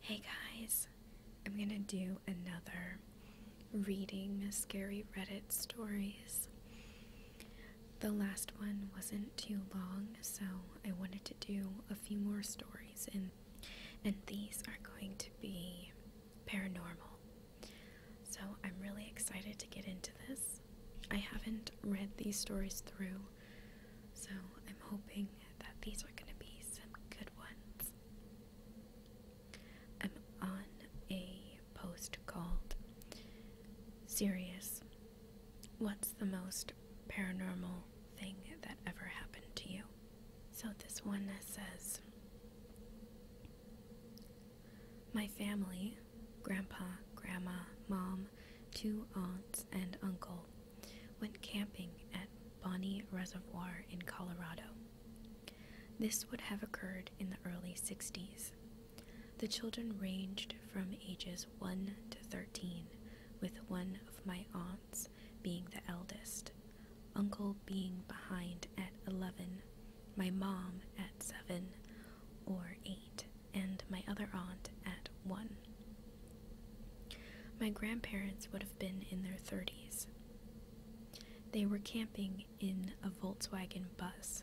Hey guys, I'm gonna do another reading Miss Scary Reddit stories. The last one wasn't too long, so I wanted to do a few more stories, and and these are going to be paranormal. So I'm really excited to get into this. I haven't read these stories through. So I'm hoping that these are going to be some good ones. I'm on a post called Serious What's the Most Paranormal Thing That Ever Happened to You? So this one says My family, Grandpa, Grandma, Mom, two aunts, and uncle, went camping at Bonnie Reservoir in Colorado. This would have occurred in the early 60s. The children ranged from ages 1 to 13, with one of my aunts being the eldest, uncle being behind at 11, my mom at 7 or 8 and my other aunt at 1. My grandparents would have been in their 30s. They were camping in a Volkswagen bus,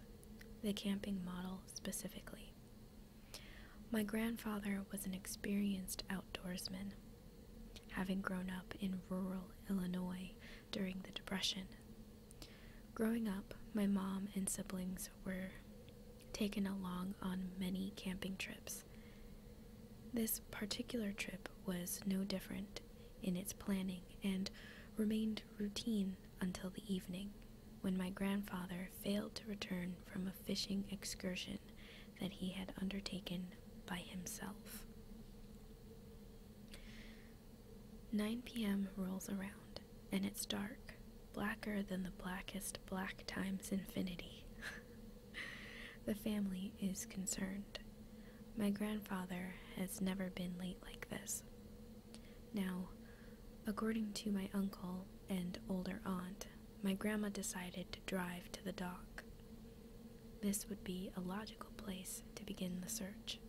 the camping model specifically. My grandfather was an experienced outdoorsman, having grown up in rural Illinois during the Depression. Growing up, my mom and siblings were taken along on many camping trips. This particular trip was no different in its planning and remained routine until the evening, when my grandfather failed to return from a fishing excursion that he had undertaken by himself. 9 p.m. rolls around and it's dark, blacker than the blackest black times infinity. the family is concerned. My grandfather has never been late like this. Now, according to my uncle and older aunt, my grandma decided to drive to the dock. This would be a logical place to begin the search.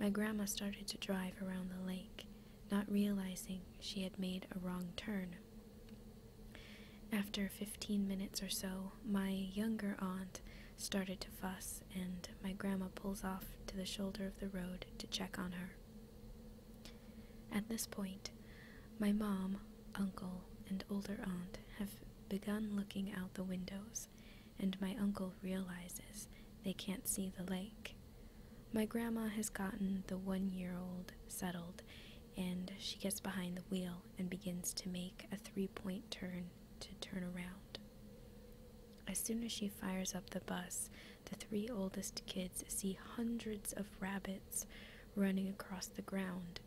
My grandma started to drive around the lake not realizing she had made a wrong turn. After fifteen minutes or so, my younger aunt started to fuss, and my grandma pulls off to the shoulder of the road to check on her. At this point, my mom, uncle, and older aunt have begun looking out the windows, and my uncle realizes they can't see the lake. My grandma has gotten the one year old settled, and she gets behind the wheel and begins to make a three point turn to turn around. As soon as she fires up the bus, the three oldest kids see hundreds of rabbits running across the ground,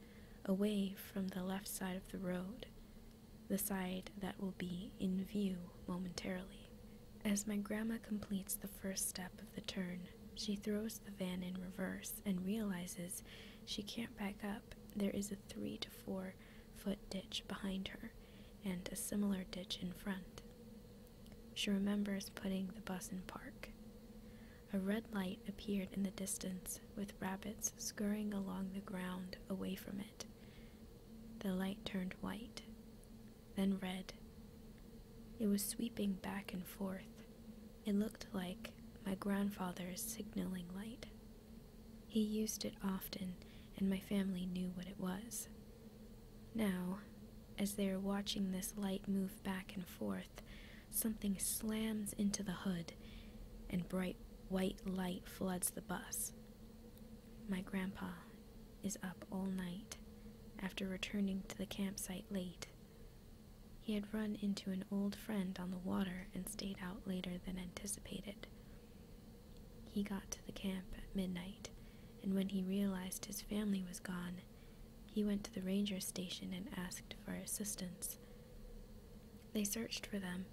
away from the left side of the road, the side that will be in view momentarily. As my grandma completes the first step of the turn, she throws the van in reverse and realizes she can't back up. There is a three to four foot ditch behind her and a similar ditch in front. She remembers putting the bus in park. A red light appeared in the distance, with rabbits scurrying along the ground away from it. The light turned white then red. It was sweeping back and forth. It looked like my grandfather's signaling light. He used it often, and my family knew what it was. Now, as they are watching this light move back and forth, something slams into the hood, and bright white light floods the bus. My grandpa is up all night after returning to the campsite late. He had run into an old friend on the water and stayed out later than anticipated. He got to the camp at midnight, and when he realized his family was gone, he went to the ranger station and asked for assistance. They searched for them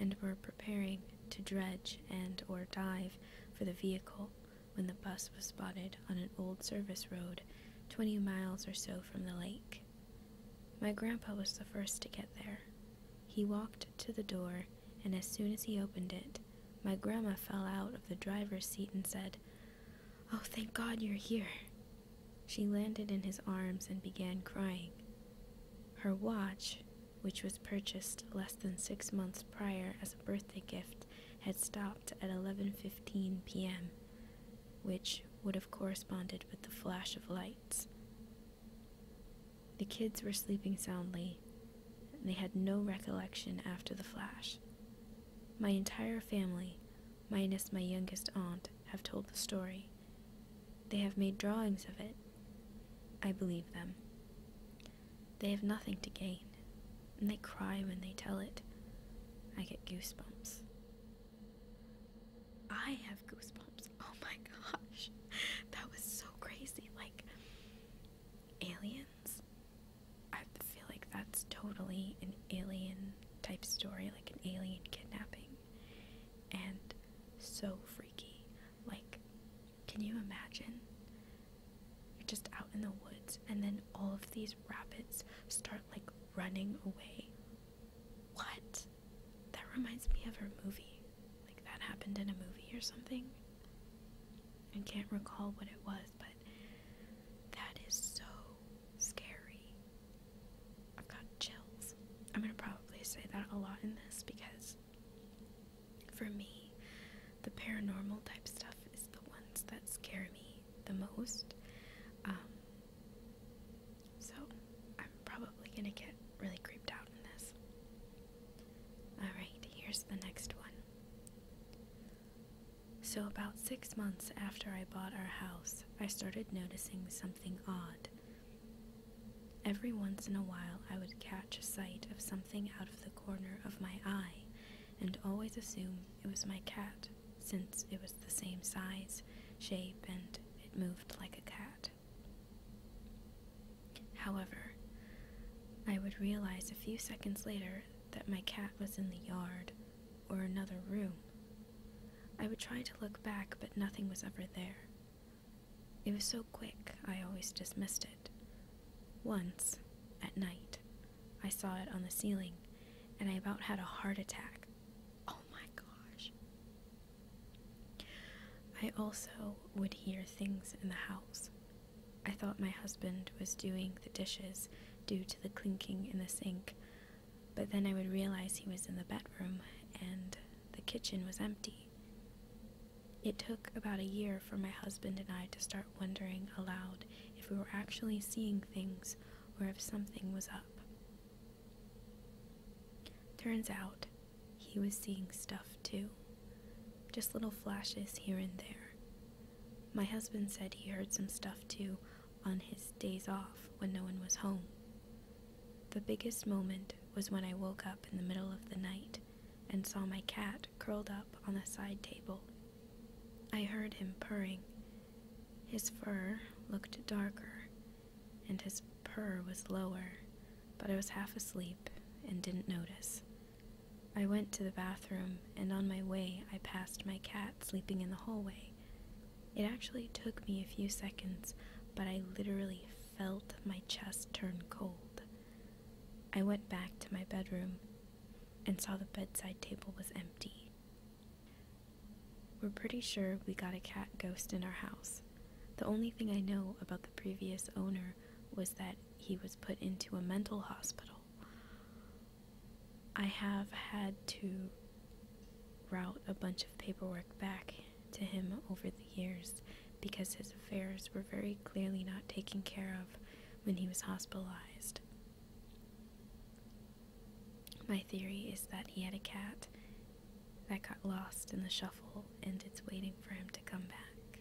and were preparing to dredge and or dive for the vehicle when the bus was spotted on an old service road 20 miles or so from the lake. My grandpa was the first to get there. He walked to the door, and as soon as he opened it, my grandma fell out of the driver's seat and said, Oh, thank God you're here. She landed in his arms and began crying. Her watch, which was purchased less than six months prior as a birthday gift, had stopped at 11:15 p.m., which would have corresponded with the flash of lights. The kids were sleeping soundly. They had no recollection after the flash. My entire family, minus my youngest aunt, have told the story. They have made drawings of it I believe them. They have nothing to gain, and they cry when they tell it. I get goosebumps. I have goosebumps. Oh my gosh. That was so crazy. Like, aliens? I feel like that's totally an alien type story, like an alien kidnapping. And so freaky. Like, can you imagine? You're just out in the woods, and then all of these rabbits start like running away. What? That reminds me of a movie. Like that happened in a movie or something. I can't recall what it was, but that is so scary. I've got chills. I'm gonna probably say that a lot in this because for me, the paranormal type stuff is the ones that scare me the most. Um, so I'm probably gonna get really creeped out in this. Alright, here's the next one. So, about six months after I bought our house, I started noticing something odd. Every once in a while, I would catch a sight of something out of the corner of my eye and always assume it was my cat, since it was the same size, shape, and it moved like a cat. However, I would realize a few seconds later that my cat was in the yard or another room. I would try to look back, but nothing was ever there. It was so quick, I always dismissed it. Once, at night, I saw it on the ceiling, and I about had a heart attack. Oh my gosh. I also would hear things in the house. I thought my husband was doing the dishes due to the clinking in the sink, but then I would realize he was in the bedroom and the kitchen was empty. It took about a year for my husband and I to start wondering aloud if we were actually seeing things or if something was up. Turns out, he was seeing stuff too. Just little flashes here and there. My husband said he heard some stuff too on his days off when no one was home. The biggest moment was when I woke up in the middle of the night and saw my cat curled up on the side table. I heard him purring. His fur looked darker, and his purr was lower, but I was half asleep and didn't notice. I went to the bathroom, and on my way, I passed my cat sleeping in the hallway. It actually took me a few seconds, but I literally felt my chest turn cold. I went back to my bedroom and saw the bedside table was empty. We're pretty sure we got a cat ghost in our house. The only thing I know about the previous owner was that he was put into a mental hospital. I have had to route a bunch of paperwork back to him over the years because his affairs were very clearly not taken care of when he was hospitalized. My theory is that he had a cat that got lost in the shuffle and it's waiting for him to come back.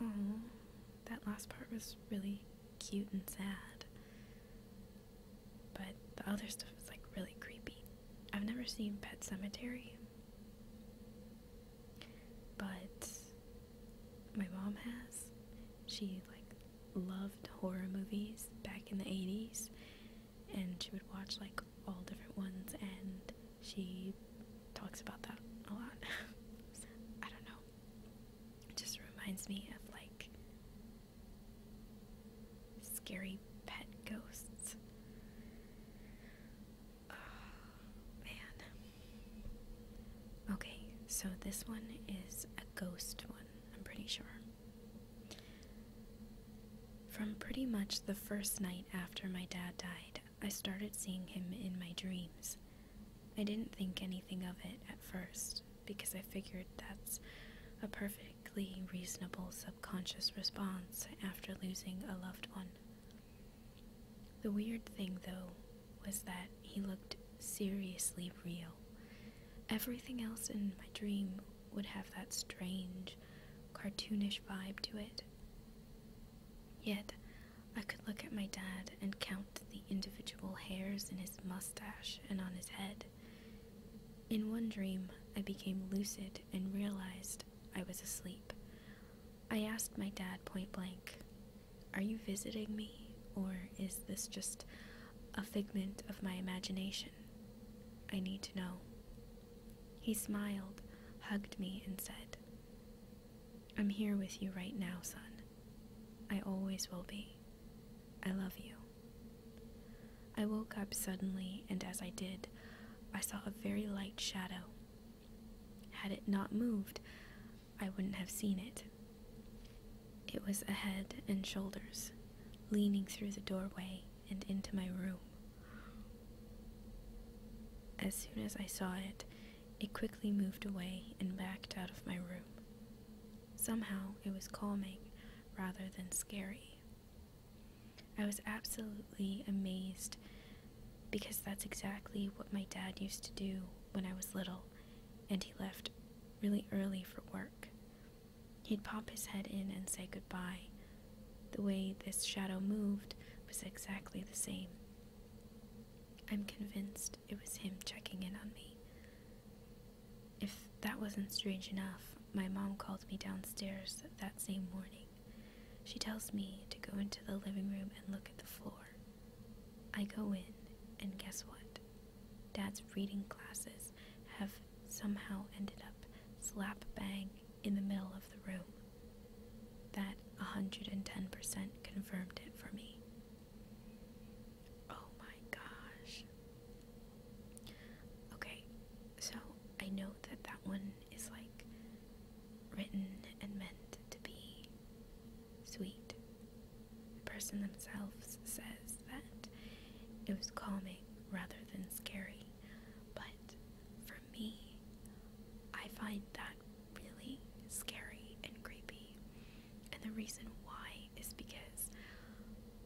Oh, that last part was really cute and sad. But the other stuff was like really creepy. I've never seen Pet Cemetery but my mom has. She like loved horror movies back in the 80s and she would watch like all different ones and she talks about that a lot. I don't know. It just reminds me of like scary pet ghosts. Oh, man. Okay, so this one is a ghost one, I'm pretty sure. From pretty much the first night after my dad died, I started seeing him in my dreams. I didn't think anything of it at first because I figured that's a perfectly reasonable subconscious response after losing a loved one. The weird thing, though, was that he looked seriously real. Everything else in my dream would have that strange, cartoonish vibe to it. Yet, I could look at my dad and count the individual hairs in his mustache and on his head. In one dream, I became lucid and realized I was asleep. I asked my dad point blank, Are you visiting me, or is this just a figment of my imagination? I need to know. He smiled, hugged me, and said, I'm here with you right now, son. I always will be. I love you. I woke up suddenly, and as I did, I saw a very light shadow. Had it not moved, I wouldn't have seen it. It was a head and shoulders, leaning through the doorway and into my room. As soon as I saw it, it quickly moved away and backed out of my room. Somehow it was calming rather than scary. I was absolutely amazed because that's exactly what my dad used to do when I was little, and he left really early for work. He'd pop his head in and say goodbye. The way this shadow moved was exactly the same. I'm convinced it was him checking in on me. If that wasn't strange enough, my mom called me downstairs that same morning. She tells me to go into the living room and look at the floor. I go in, and guess what? Dad's reading glasses have somehow ended up slap bang in the middle of the room. That 110% confirmed it for me. Oh my gosh. Okay, so I know that that one is like written and meant to be sweet. The person themselves says that it was calming rather than scary, but for me, I find that really scary and creepy. And the reason why is because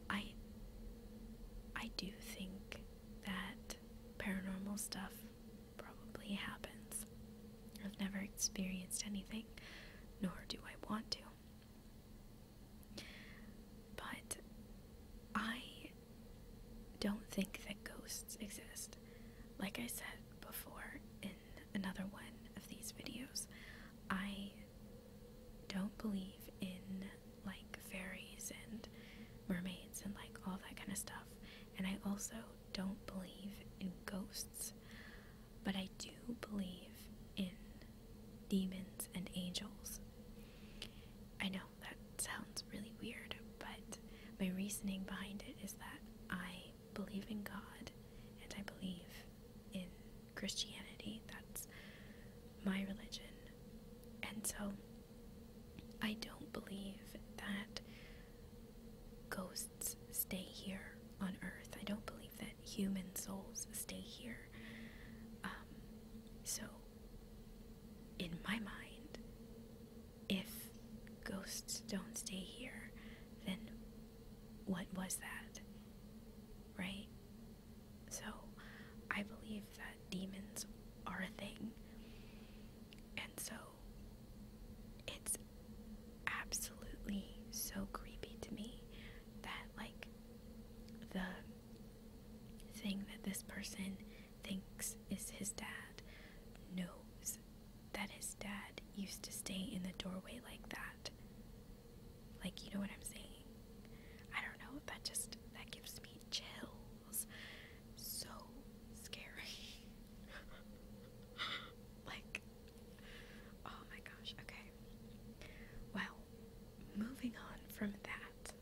I I do think that paranormal stuff probably happens. I've never experienced anything, nor do I want to. But I don't think that ghosts exist. Like I said before in another one of these videos, I don't believe in like fairies and mermaids and like all that kind of stuff. And I also don't believe in ghosts, but I do believe in demons and angels. I know that sounds really weird, but my reasoning behind it is that I believe in God and I believe in Christianity. That's my religion. And so I don't believe that ghosts stay here on Earth. I don't believe that human souls stay here. Um, so, in my mind, if ghosts don't stay here, then what was that? Right? So I believe that demons are a thing. And so it's absolutely so creepy to me that, like, the thing that this person thinks is his dad knows that his dad used to stay in the doorway like that. Like, you know what I'm saying? I don't know, that just that gives me chills. So scary. like oh my gosh, okay. Well, moving on from that.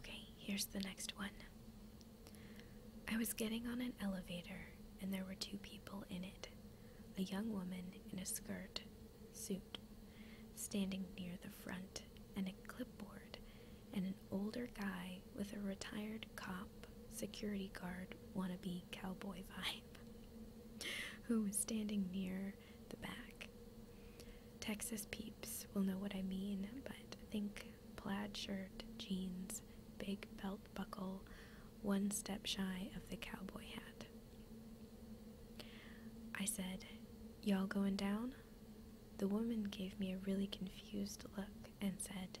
Okay, here's the next one. I was getting on an elevator and there were two people in it a young woman in a skirt suit, standing near the front, and a clipboard, and an older guy with a retired cop security guard wannabe cowboy vibe, who was standing near the back. Texas peeps will know what I mean, but think plaid shirt, jeans, big belt buckle, one step shy of the cowboy hat. I said, Y'all going down? The woman gave me a really confused look and said,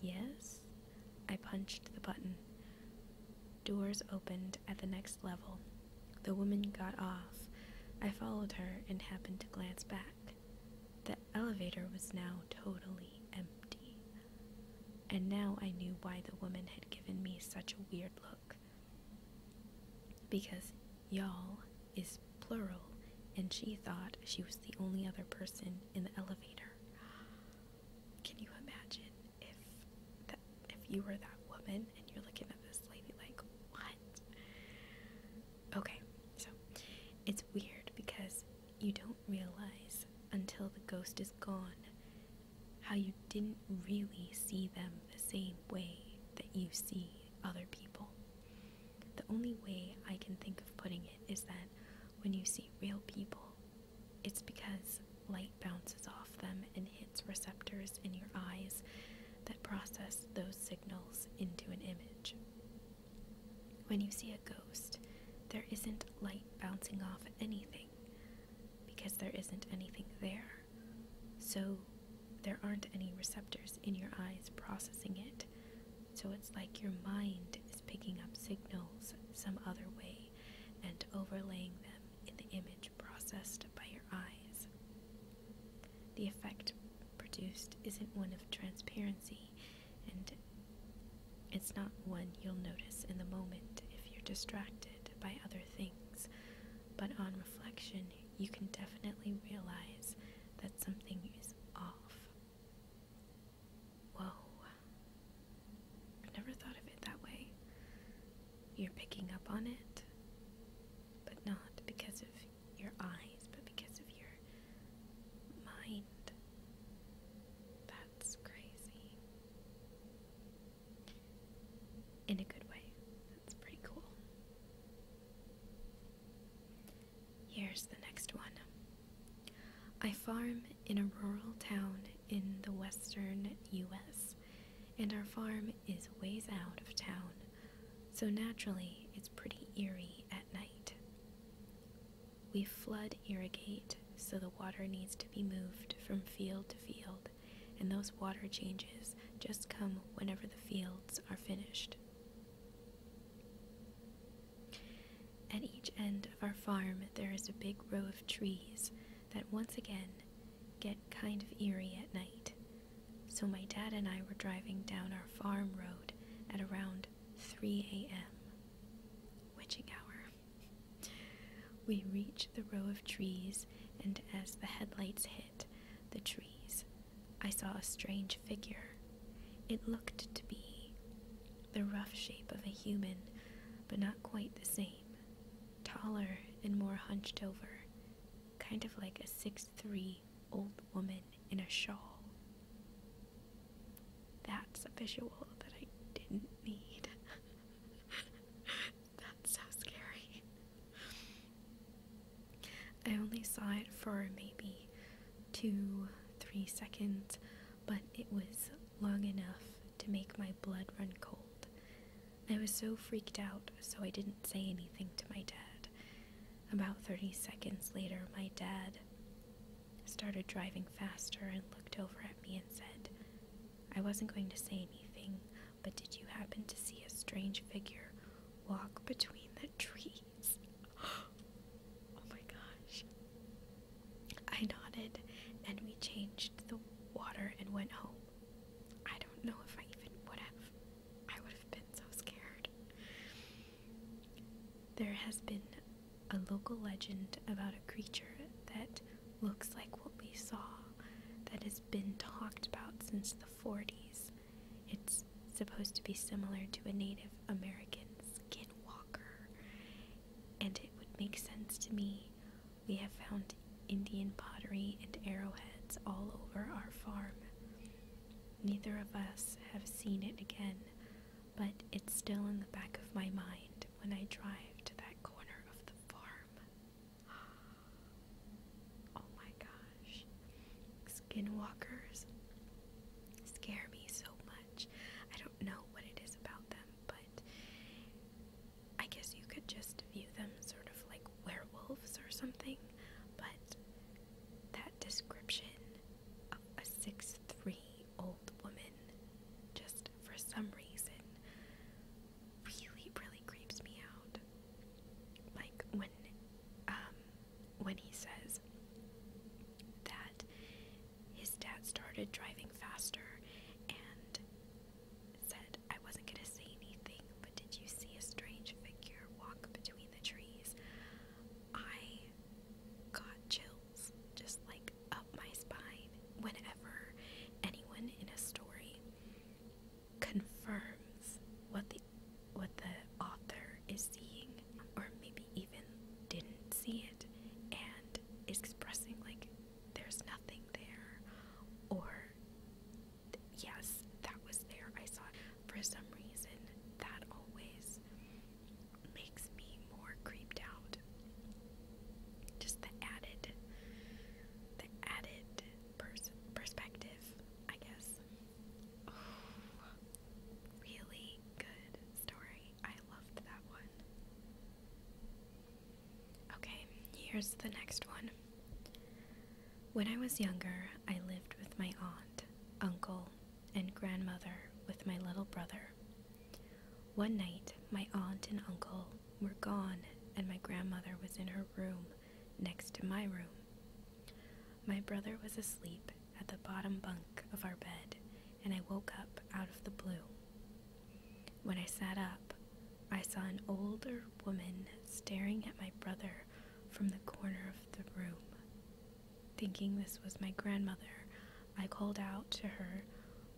Yes? I punched the button. Doors opened at the next level. The woman got off. I followed her and happened to glance back. The elevator was now totally empty. And now I knew why the woman had given me such a weird look. Because y'all is plural, and she thought she was the only other person in the elevator. Can you imagine if that, if you were that woman and you're looking at this lady like, what? Okay, so it's weird because you don't realize until the ghost is gone how you didn't really see them the same way that you see other people. The only way I can think of putting it is that when you see real people, it's because light bounces off them and hits receptors in your eyes that process those signals into an image. When you see a ghost, there isn't light bouncing off anything because there isn't anything there. So there aren't any receptors in your eyes processing it. So it's like your mind is picking up signals some other way and overlaying them in the image processed by your eyes. The effect produced isn't one of transparency and it's not one you'll notice in the moment if you're distracted by other things, but on reflection, you can definitely realize that something is off. Whoa. I've never thought of it that way. You're picking up on it, but not because of your eyes, but because of your mind. That's crazy in a good way. That's pretty cool. Here's the next one. I farm in a rural town in the western US, and our farm is ways out of town, so naturally it's pretty eerie at night. We flood irrigate so the water needs to be moved from field to field, and those water changes just come whenever the fields are finished. At each end of our farm, there is a big row of trees that once again get kind of eerie at night. So my dad and I were driving down our farm road at around 3 a.m. Witching hour. We reach the row of trees, and as the headlights hit the trees, I saw a strange figure. It looked to be the rough shape of a human, but not quite the same. Taller and more hunched over, kind of like a six-three old woman in a shawl. That's a visual that I didn't need. That's so scary. I only saw it for maybe two, three seconds, but it was long enough to make my blood run cold. I was so freaked out, so I didn't say anything to my dad. About 30 seconds later, my dad started driving faster and looked over at me and said, I wasn't going to say anything, but did you happen to see a strange figure walk between the trees? oh my gosh. I nodded and we changed the water and went home. I don't know if I even would have. I would have been so scared. There has been a local legend about a creature that looks like what we saw that has been talked about since the 40s. It's supposed to be similar to a Native American skinwalker, and it would make sense to me. We have found Indian pottery and arrowheads all over our farm. Neither of us have seen it again, but it's still in the back of my mind when I drive to that corner of the farm. Oh my gosh. Skinwalkers scare me so much. I don't know what it is about them, but I guess you could just view them sort of like werewolves or something, but that description of a 3 old woman just for some reason really, really creeps me out. Like when um when he says that his dad started driving faster and said, I wasn't gonna say anything, but did you see a strange figure walk between the trees? I got chills just like up my spine whenever anyone in a story confirms what the what the author is seeing or maybe even didn't see it and is expressing like there's nothing there or yes that was there I saw it. for some reason that always makes me more creeped out. Just the added, the added pers perspective, I guess. really good story. I loved that one. Okay, here's the next one. When I was younger, I lived with my aunt, uncle, and grandmother with my little brother. One night, my aunt and uncle were gone, and my grandmother was in her room next to my room. My brother was asleep at the bottom bunk of our bed, and I woke up out of the blue. When I sat up, I saw an older woman staring at my brother from the corner of the room. Thinking this was my grandmother, I called out to her,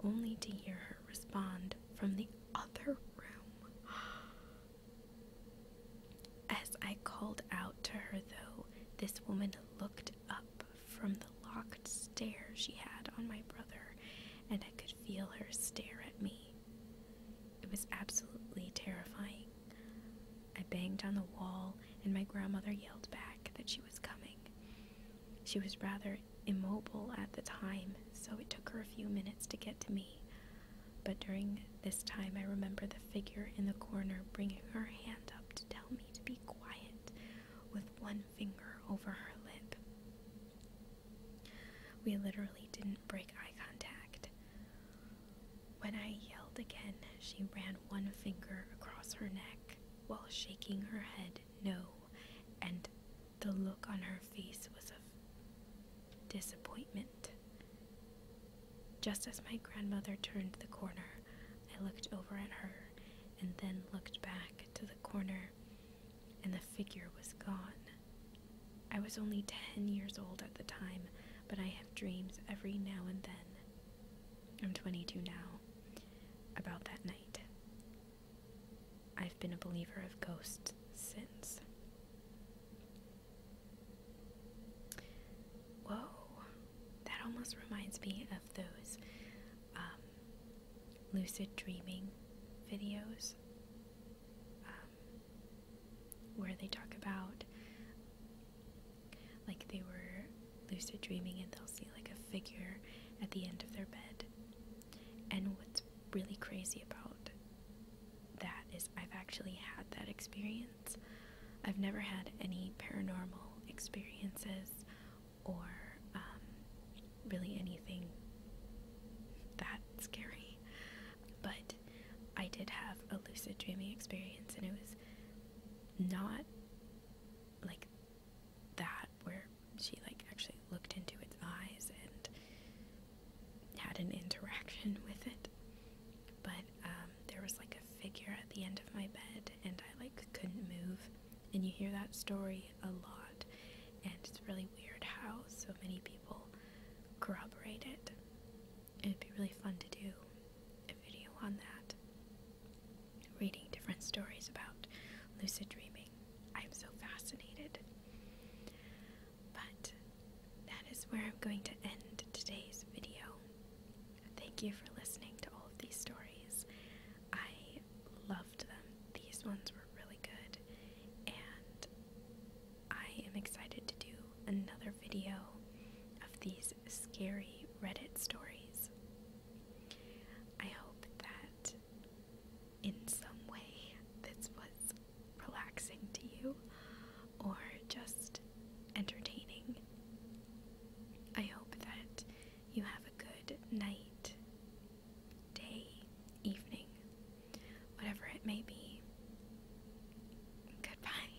only to hear her respond from the other room. As I called out to her, though, this woman looked up from the locked stare she had on my brother, and I could feel her stare at me. It was absolutely terrifying. I banged on the wall, and my grandmother yelled back that she was coming. She was rather immobile at the time, so it took her a few minutes to get to me. But during this time, I remember the figure in the corner bringing her hand up to tell me to be quiet with one finger over her lip. We literally didn't break eye contact. When I yelled again, she ran one finger across her neck while shaking her head no, and the look on her face was of disappointment. Just as my grandmother turned the corner, I looked over at her and then looked back to the corner, and the figure was gone. I was only 10 years old at the time, but I have dreams every now and then. I'm 22 now, about that night. I've been a believer of ghosts since. Whoa, that almost reminds me of those um, lucid dreaming videos um, where they talk about like they were lucid dreaming and they'll see like a figure at the end of their bed. And what's really crazy about that is I've actually had that experience. I've never had any paranormal experiences or um, really anything that scary. But I did have a lucid dreaming experience and it was not like that where she like actually looked into its eyes and had an interaction with it. But um, there was like a figure at the end of my bed, and I like couldn't move. And you hear that story a lot, and it's really weird how so many people corroborate it. It'd be really fun to do a video on that reading different stories about lucid dreaming. I'm so fascinated. But that is where I'm going to end today's video. Thank you for listening to all of these stories. I loved them. These ones were really good. And I am excited to do another video of these scary Reddit stories. I hope that in some way this was relaxing to you or just entertaining. I hope that you have a good night, day, evening, whatever it may be. Goodbye.